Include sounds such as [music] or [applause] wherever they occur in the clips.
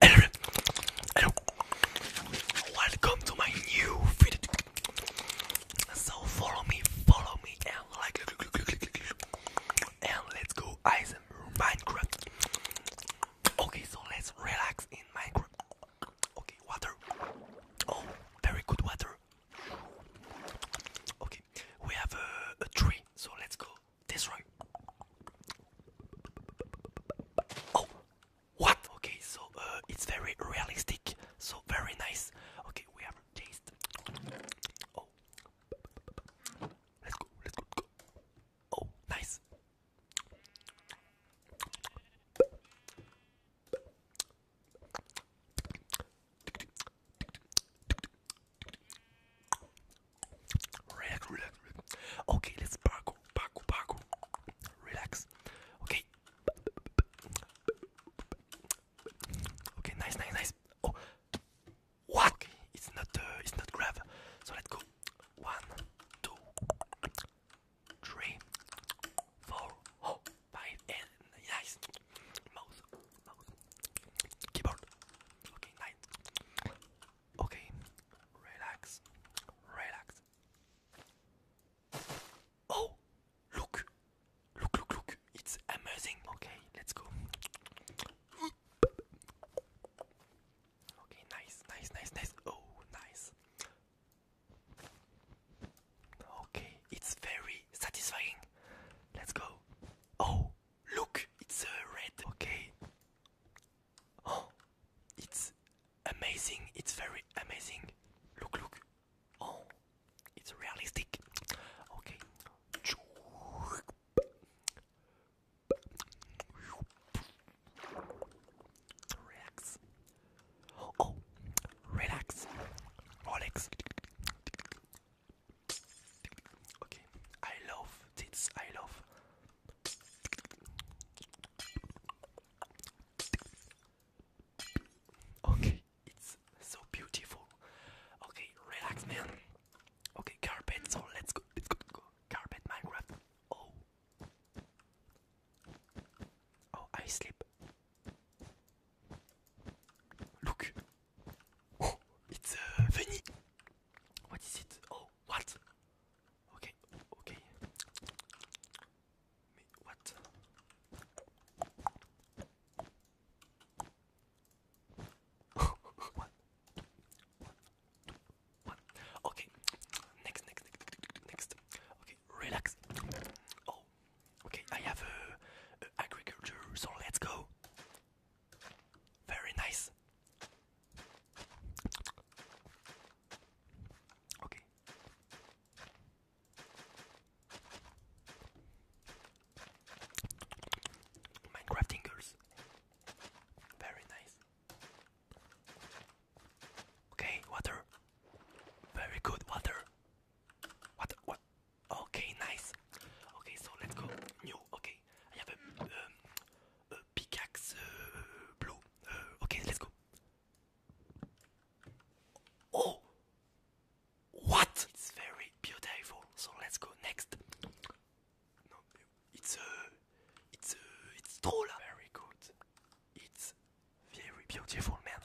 Welcome to my new video. So follow me, follow me, and like, and let's go ice Minecraft. Okay, so let's relax in Minecraft. Okay, water. Oh, very good water. Okay, we have a tree, so let's go this right. Oh, what? Okay, so uh, it's very realistic, so very nice. Okay, we have taste. Oh, let's go, let's go. Oh, nice. Relax, relax, Okay, let's parkour, parkour, parkour. Relax. Okay. Okay, nice, nice, nice. Oh, what? it's not, uh, it's not grab. So let's go. One, two, three, four, oh, five, and nice. Mouse, mouse, keyboard. Okay, nice. Okay, relax, relax. Oh, look, look, look, look, it's amazing. Okay, let's go. Okay, nice, nice, nice, nice. Oh, nice. Okay, it's very satisfying. Let's go. Oh, Look, it's uh, red. Okay. Oh, it's amazing. It's very amazing. Look, look. Oh, it's realistic. Okay. Relax. Oh, relax. Rolex. Okay, I love this. I love. Okay, it's so beautiful. Okay, relax, man. Okay, carpet. So let's go. Let's go. Carpet Minecraft. Oh. Oh, I sleep. Look, Oh, it's uh, a Vinny. What is it? Oh, what? Okay, okay. Mais what? one, two, one. Okay, next, next, next, next. Okay, relax. Oh, Okay, I have a, uh, uh, agriculture, so let's go. Very nice. Okay. Minecraft tingles. Very nice. Okay, water. Very good water. What? What? Okay, nice. Okay, so let's go. New. Okay, I have a, um, a pickaxe uh, blue. Uh, okay, let's go. Oh, what? It's very beautiful. So let's go next. No, it's a, uh, it's a, it's troll. Very good. It's very beautiful, man.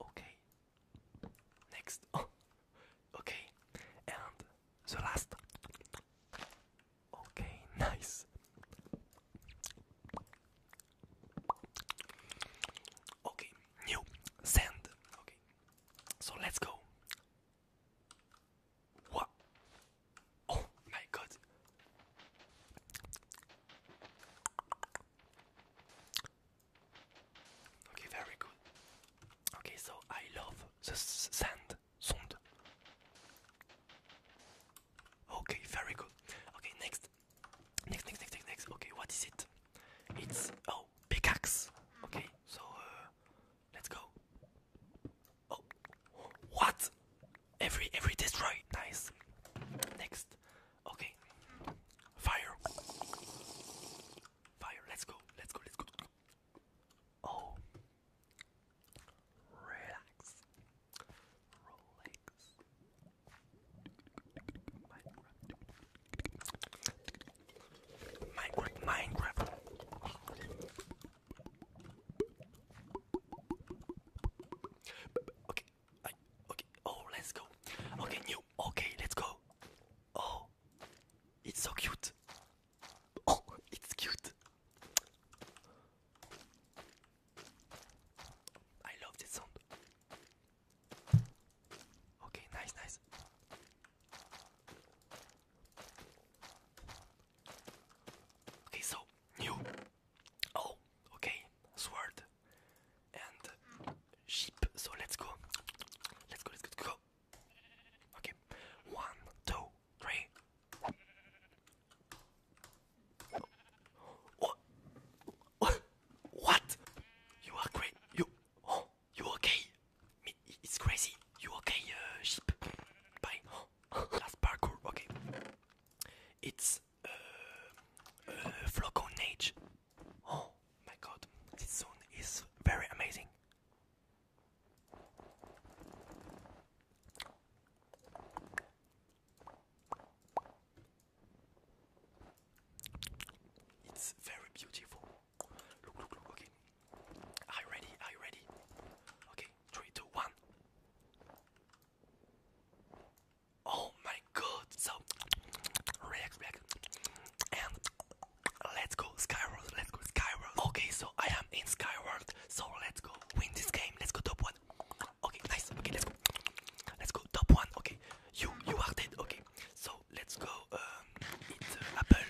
Okay, Next. [laughs] okay. And the last. Okay, [laughs] nice. Okay, new sand. Okay. So let's go. What? Oh my god. Okay, very good. Okay, so I love the sand sound. Okay, very good. Okay, next. Next, next, next, next, Okay, what is it? It's oh, pickaxe. Okay, so uh, let's go. Oh, what? Every every destroy. Nice. Next. Okay. Fire. Fire. Let's go. Let's go. Let's go. Oh. Relax. Relax. Minecraft. Minecraft. Okay, okay, oh, let's go. Okay, new, okay, let's go. Oh, it's so cute. Oh, it's cute. I love this sound. Okay, nice, nice. Okay, so new. Oh, okay, sword and sheep. So let's go. Let's go, let's go, let's go. Okay, one, two, three. What? What? You are great. You. Oh, you okay? it's crazy. You okay, uh, sheep? Bye. [gasps] last parkour. Okay. It's uh, uh Oh my god, this zone is very amazing. It's very beautiful. Look, look, look, okay. Are you ready? Are you ready? Okay, 3, Oh my god, so react, react, and let's go Skyward, let's go Skyward. Okay, so I am in Skyward, so let's go win this game. Let's go top one. Okay, nice. Okay, let's go. Let's go top one. Okay, you you are dead. Okay, so let's go um, eat uh, apple.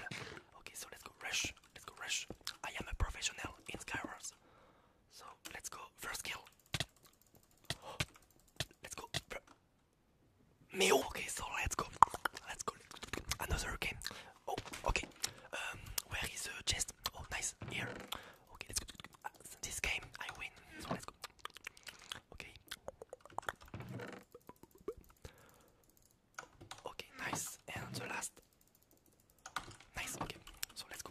Okay, so let's go rush. Let's go rush. I am a professional in Skyward. So let's go. First kill. Oh, let's go. Me okay. So let's go. Let's go. Another game. Oh okay. Um, where is the chest? Oh nice here. Okay, let's go. Ah, this game I win. So let's go. Okay. Okay, nice. And the last. Nice. Okay, so let's go.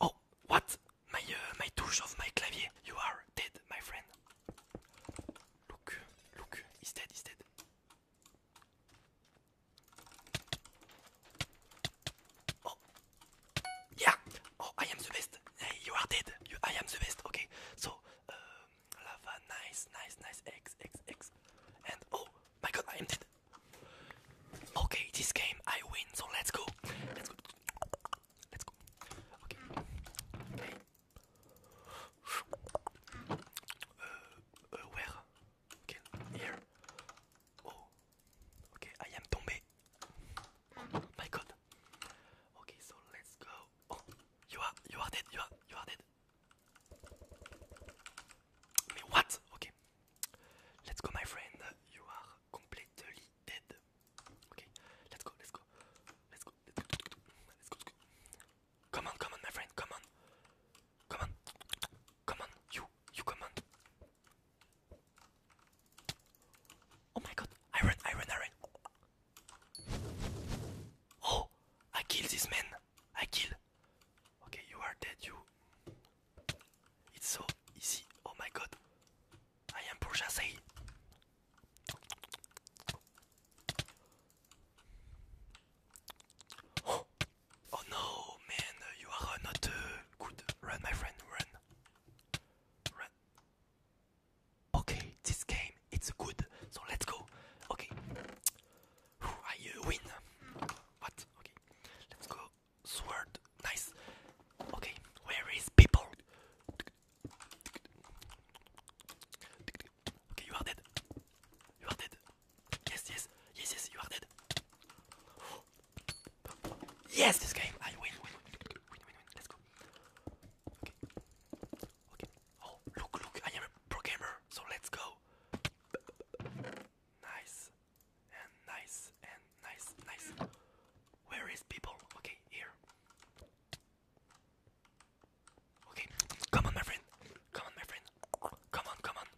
Oh, what? My uh, my touch of my clavier. You are dead, my friend. Look, look, he's dead. He's dead. Oh, yeah. Oh, I am the best. Hey, you are dead. I am the best. Okay. So, uh, lava, nice, nice, nice. X, X, X. And oh my God, I am dead. Okay, this game I win. So let's go. Let's go. Let's go. Okay. Hey. Uh, uh, where? Okay, here. Oh. Okay, I am tombé. Oh my God. Okay, so let's go. Oh, you are you are dead. You are you are dead. what? Okay. Let's go, my friend. You are completely dead. Okay. Let's go. Let's go. Let's go. Let's go. Let's go. Let's go. Come on, come on, my friend. Come on. Come on. Come on. You. You come on. Oh my god, iron, iron, iron. Oh, I killed this man. I killed. Okay, you are dead, you. It's so easy. Oh my god. I am Purjasei. Oh. oh no, man, you are not uh, good. Run, my friend, run. Okay, this game it's good. So let's go. Okay. I uh, win. What? Okay. Let's go. Sword. Nice. Okay. Where is people? Okay, you are dead. You are dead. Yes, yes. Yes, yes, you are dead. Yes, this game. I win, win, win, win, win, win. Let's go. Okay. Okay. Oh, look, look. I am a pro so let's go. Nice. And nice. And nice. Nice. Where is people? Okay, here. Okay. Come on, my friend. Come on, my friend. Come on, come on.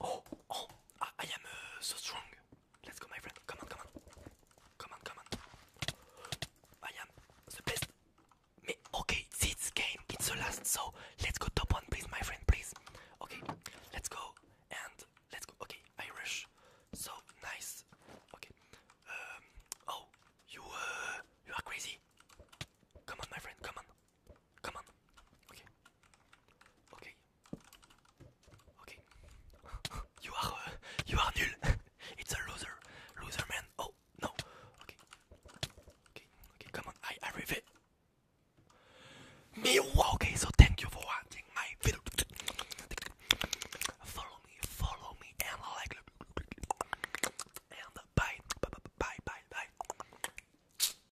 Oh, oh, I, am uh, so strong. Let's go, my friend. Come on, come on. Come on, come on. I am the best. okay, this game, it's the last. So let's go top one, please, my friend, please. Okay, let's go and let's go. Okay, I So nice. Okay. Um, oh, you, uh, you are crazy. Come on, my friend, come on. Come on. Okay. Okay. Okay. [laughs] you are uh, you are nul. [laughs] it's a loser. Loser man. Oh no. Okay. Okay. Okay. Come on. I I reveal. Me Okay. So thank you for watching my video. [laughs] follow me. Follow me and like. And bye. Bye. Bye. Bye. bye.